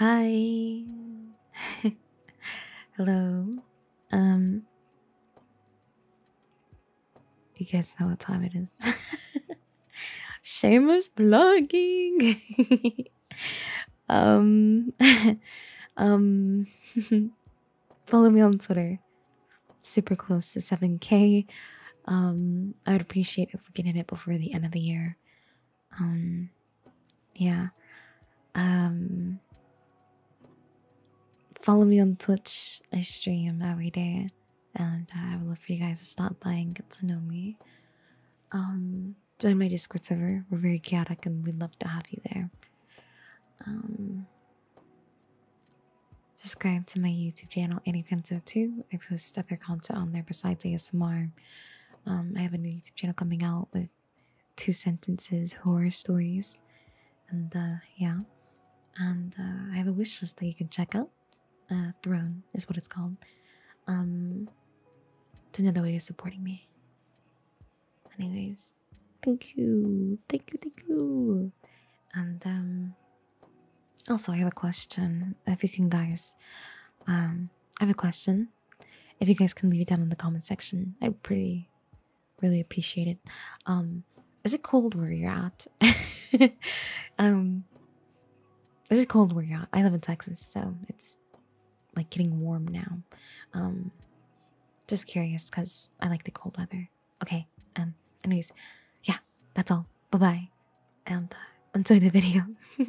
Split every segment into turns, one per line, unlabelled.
Hi. Hello. Um You guys know what time it is. Shameless blogging. um um follow me on Twitter. Super close to 7 ki um, would appreciate if we get it before the end of the year. Um, yeah. Um, follow me on Twitch. I stream every day, and I would love for you guys to stop by and get to know me. join my Discord server. We're very chaotic, and we'd love to have you there. Subscribe to my YouTube channel, AnnieFanso2. I post other content on there besides ASMR. Um, I have a new YouTube channel coming out with two sentences horror stories. And uh, yeah. And uh, I have a wish list that you can check out. Uh, Throne is what it's called. Um, it's another way of supporting me. Anyways, thank you. Thank you, thank you. And um, also, I have a question. If you can, guys, um, I have a question. If you guys can leave it down in the comment section, I'd pretty really appreciate it. Um, is it cold where you're at? is it cold where you're at? I live in Texas, so it's like getting warm now. just curious because I like the cold weather. Okay, um, anyways, yeah, that's all. Bye bye, and uh, enjoy the video.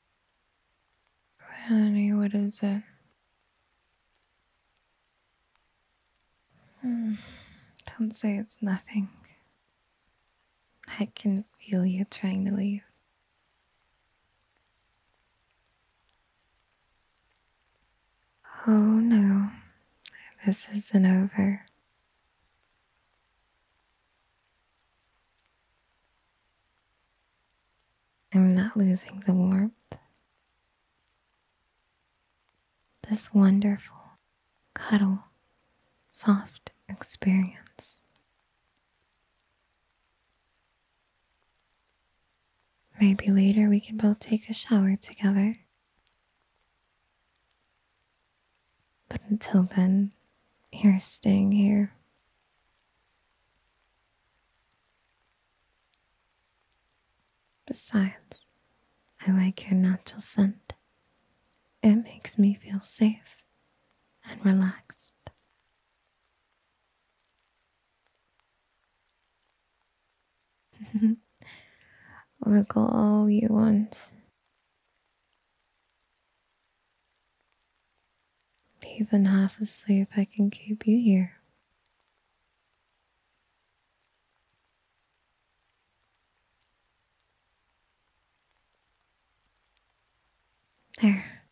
Honey, what is it? Hmm. Don't say it's nothing. I can feel you trying to leave. Oh no, this isn't over. I'm not losing the warmth. This wonderful, cuddle, soft experience. Maybe later we can both take a shower together. But until then, you're staying here. Besides, I like your natural scent. It makes me feel safe and relaxed. Wiggle all you want. Even half asleep, I can keep you here. There.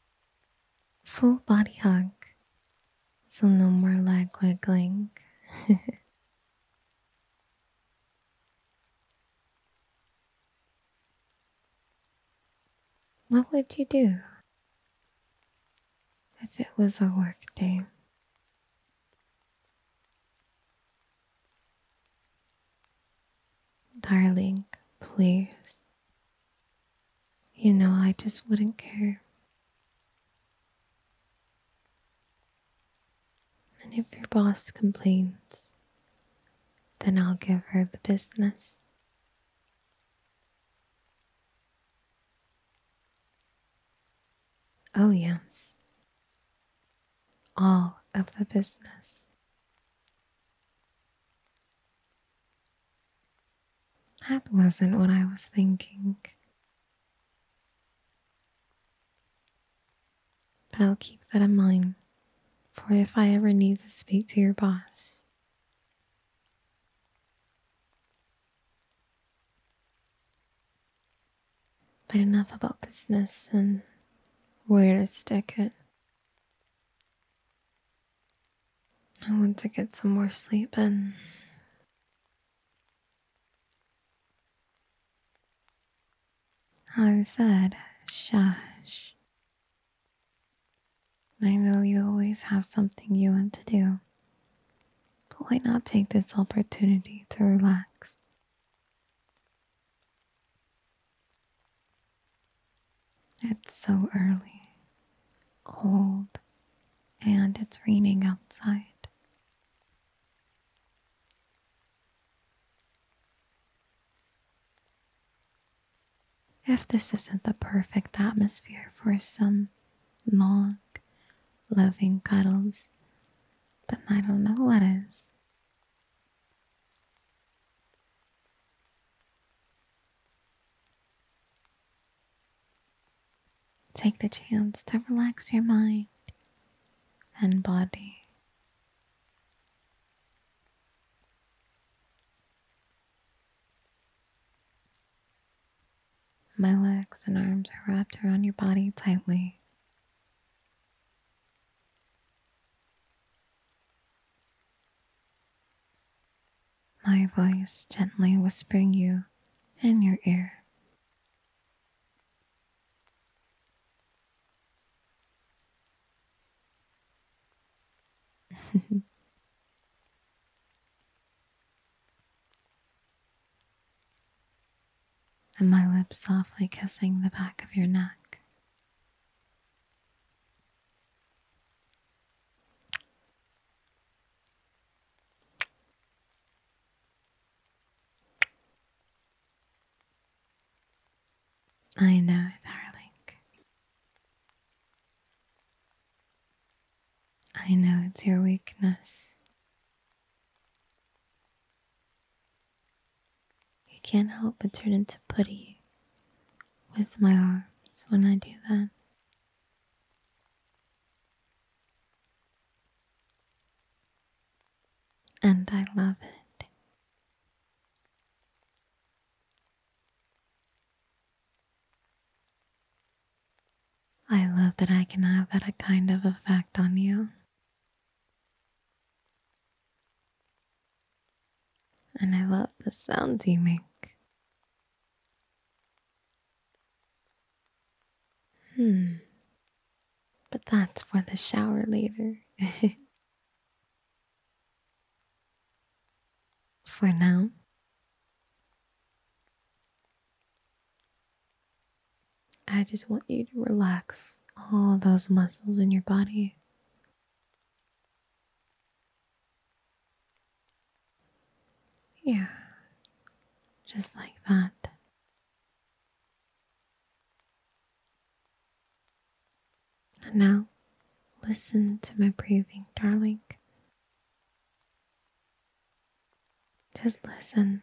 Full body hug. So no more leg wiggling. What would you do if it was a work day? Darling, please. You know, I just wouldn't care. And if your boss complains, then I'll give her the business. Oh, yes. All of the business. That wasn't what I was thinking. But I'll keep that in mind for if I ever need to speak to your boss. But enough about business and where to stick it. I want to get some more sleep And I said, shush. I know you always have something you want to do, but why not take this opportunity to relax? It's so early, cold, and it's raining outside. If this isn't the perfect atmosphere for some long, loving cuddles, then I don't know what is. Take the chance to relax your mind and body. My legs and arms are wrapped around your body tightly. My voice gently whispering you in your ear. and my lips softly kissing the back of your neck. I know, it, darling. I know it's your weakness. You can't help but turn into putty with my arms when I do that. And I love it. I love that I can have that kind of effect on you. And I love the sounds you make. Hmm. But that's for the shower later. For now, I just want you to relax all those muscles in your body. Yeah, just like that. And now, listen to my breathing, darling. Just listen.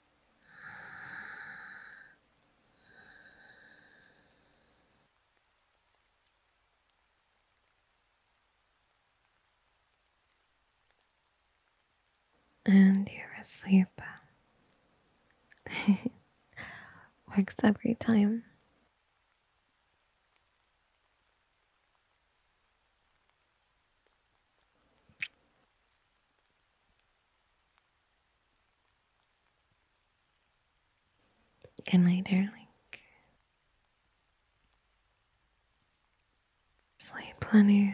And you're asleep. Works every time. Good night, darling. Sleep plenty.